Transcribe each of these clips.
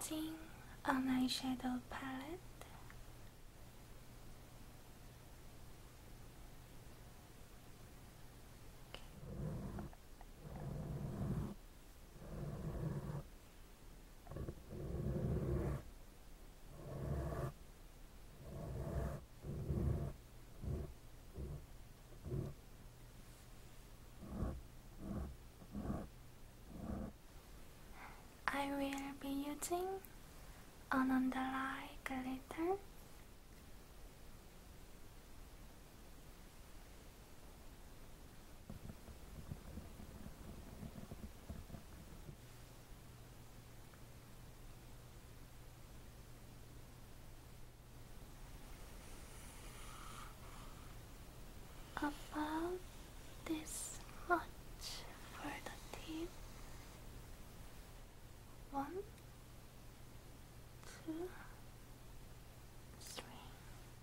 Using an eyeshadow palette. I will be using an underline glitter about this much for the team. One, two, three.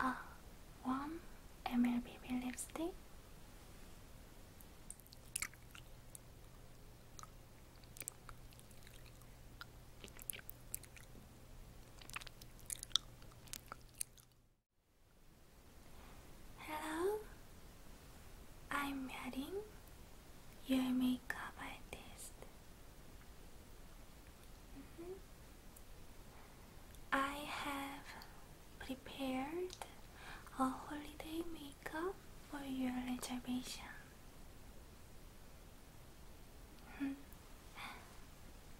Ah, one MLBB lipstick. Hello, I'm Yarin, your makeup artist. Mm-hmm. I have prepared a holiday makeup for your reservation. Hmm.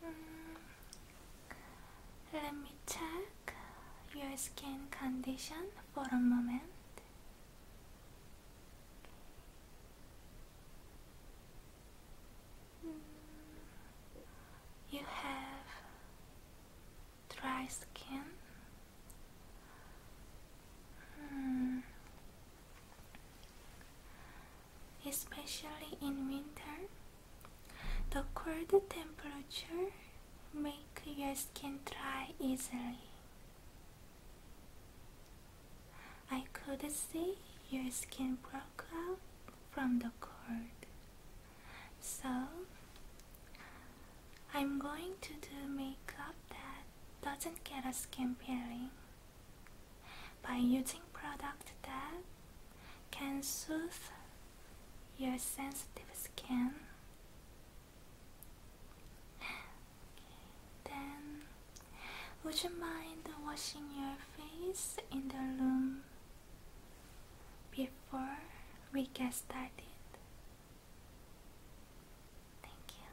Mm. Let me check your skin condition for a moment. You have dry skin. Hmm. Especially in winter, the cold temperature make your skin dry easily. I could see your skin broke out from the cold, So, I'm going to do makeup that doesn't get a skin peeling by using product that can soothe your sensitive skin. Then, would you mind washing your face in the room before we get started? Thank you.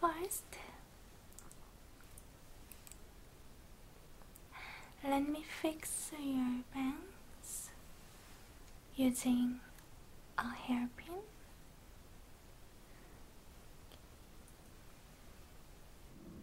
first, let me fix your bangs using a hairpin.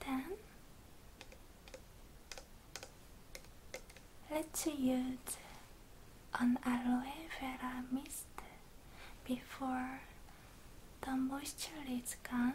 Then let's use an aloe vera mist before the moisture is gone.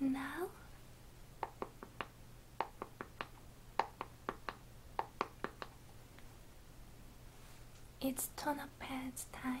Now it's turn pads time.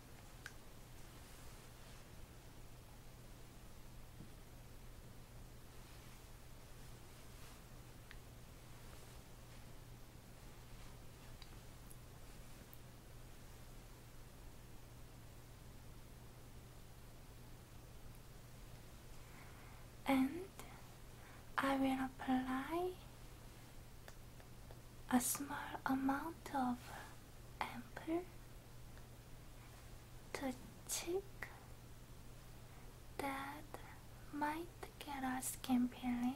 and I will apply a small amount of amber to cheek that might get us skin peeling.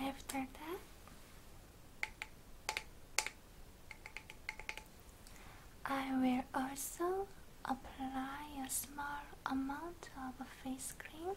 After that, I will also apply a small amount of face cream.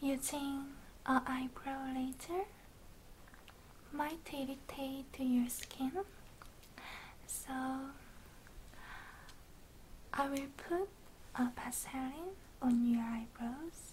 Using an eyebrow laser might irritate your skin, so I will put a Vaseline on your eyebrows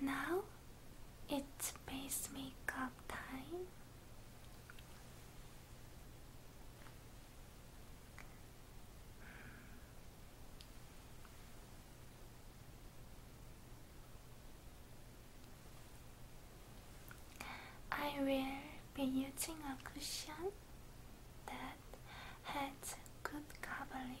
Now it's base makeup time. I will be using a cushion that had good coverage.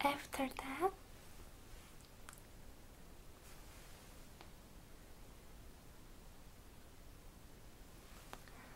After that,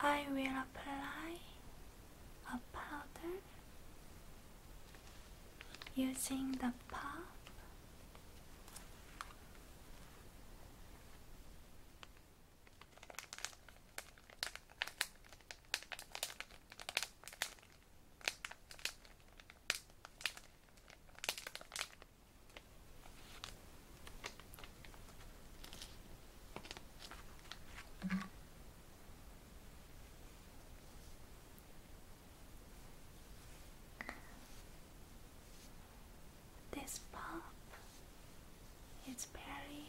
I will apply a powder using the puff. This pop is very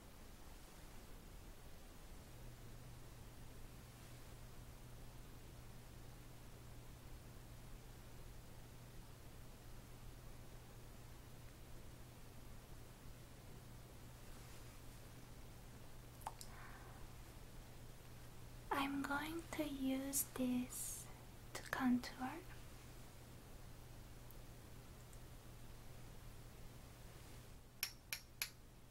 I'm going to use this to contour.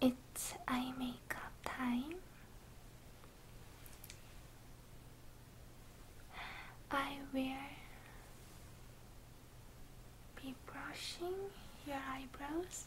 It's eye makeup time. I will be brushing your eyebrows.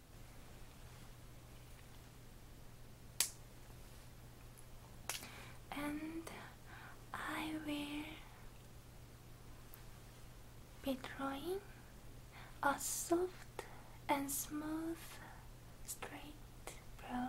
and I will be drawing a soft and smooth straight brow.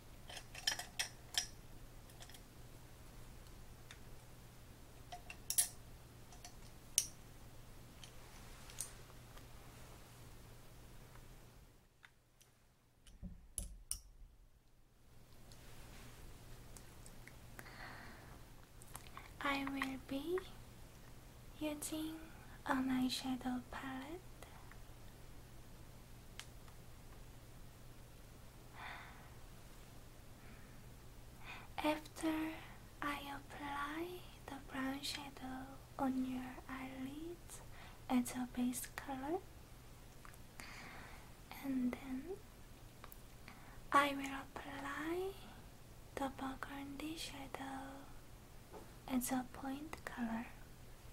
I will be using an eyeshadow palette after I apply the brown shadow on your eyelids as a base color, and then I will apply the burgundy shadow as a point color.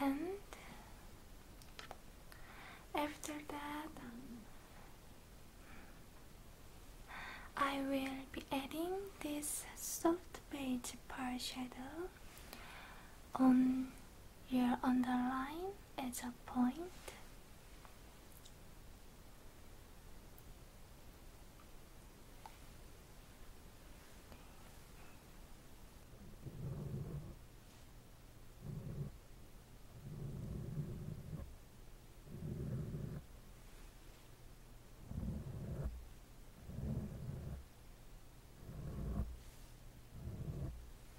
and after that I will be adding this soft beige part shadow on your underline is a point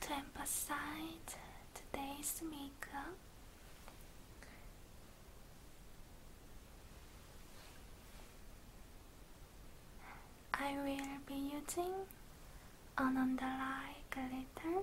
To emphasize today's makeup, I will be using an under eye glitter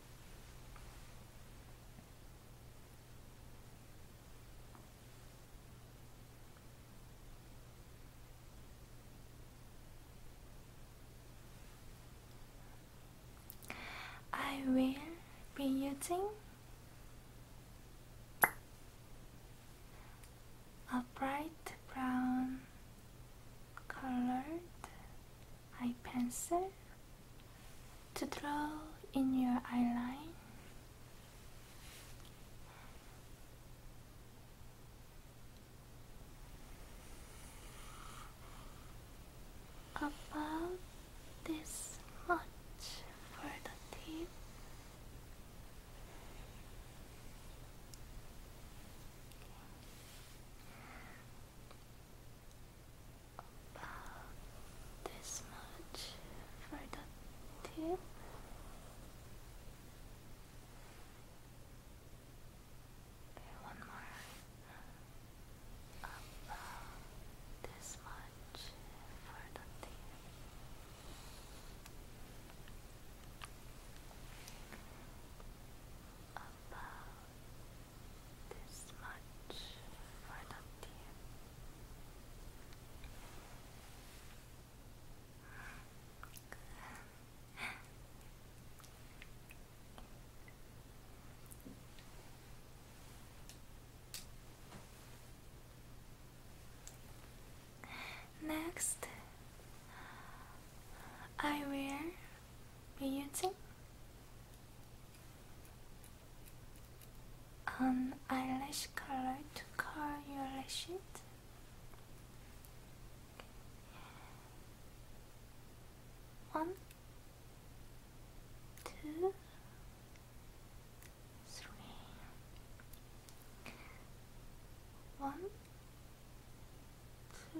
I will be using a bright brown colored eye pencil to draw in your eyeline. About this much for the tip about this much for the tip. one more. About this much for the tip. About this much for the Next, I will be using? An eyelash color to color your lashes? One, two, three. One, two,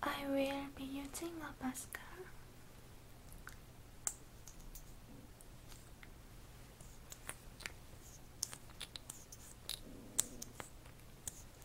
I will be using a mascara.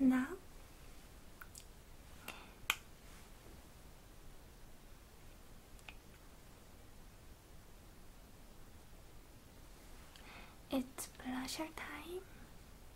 Now it's pleasure time.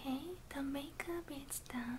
Okay, the makeup is done.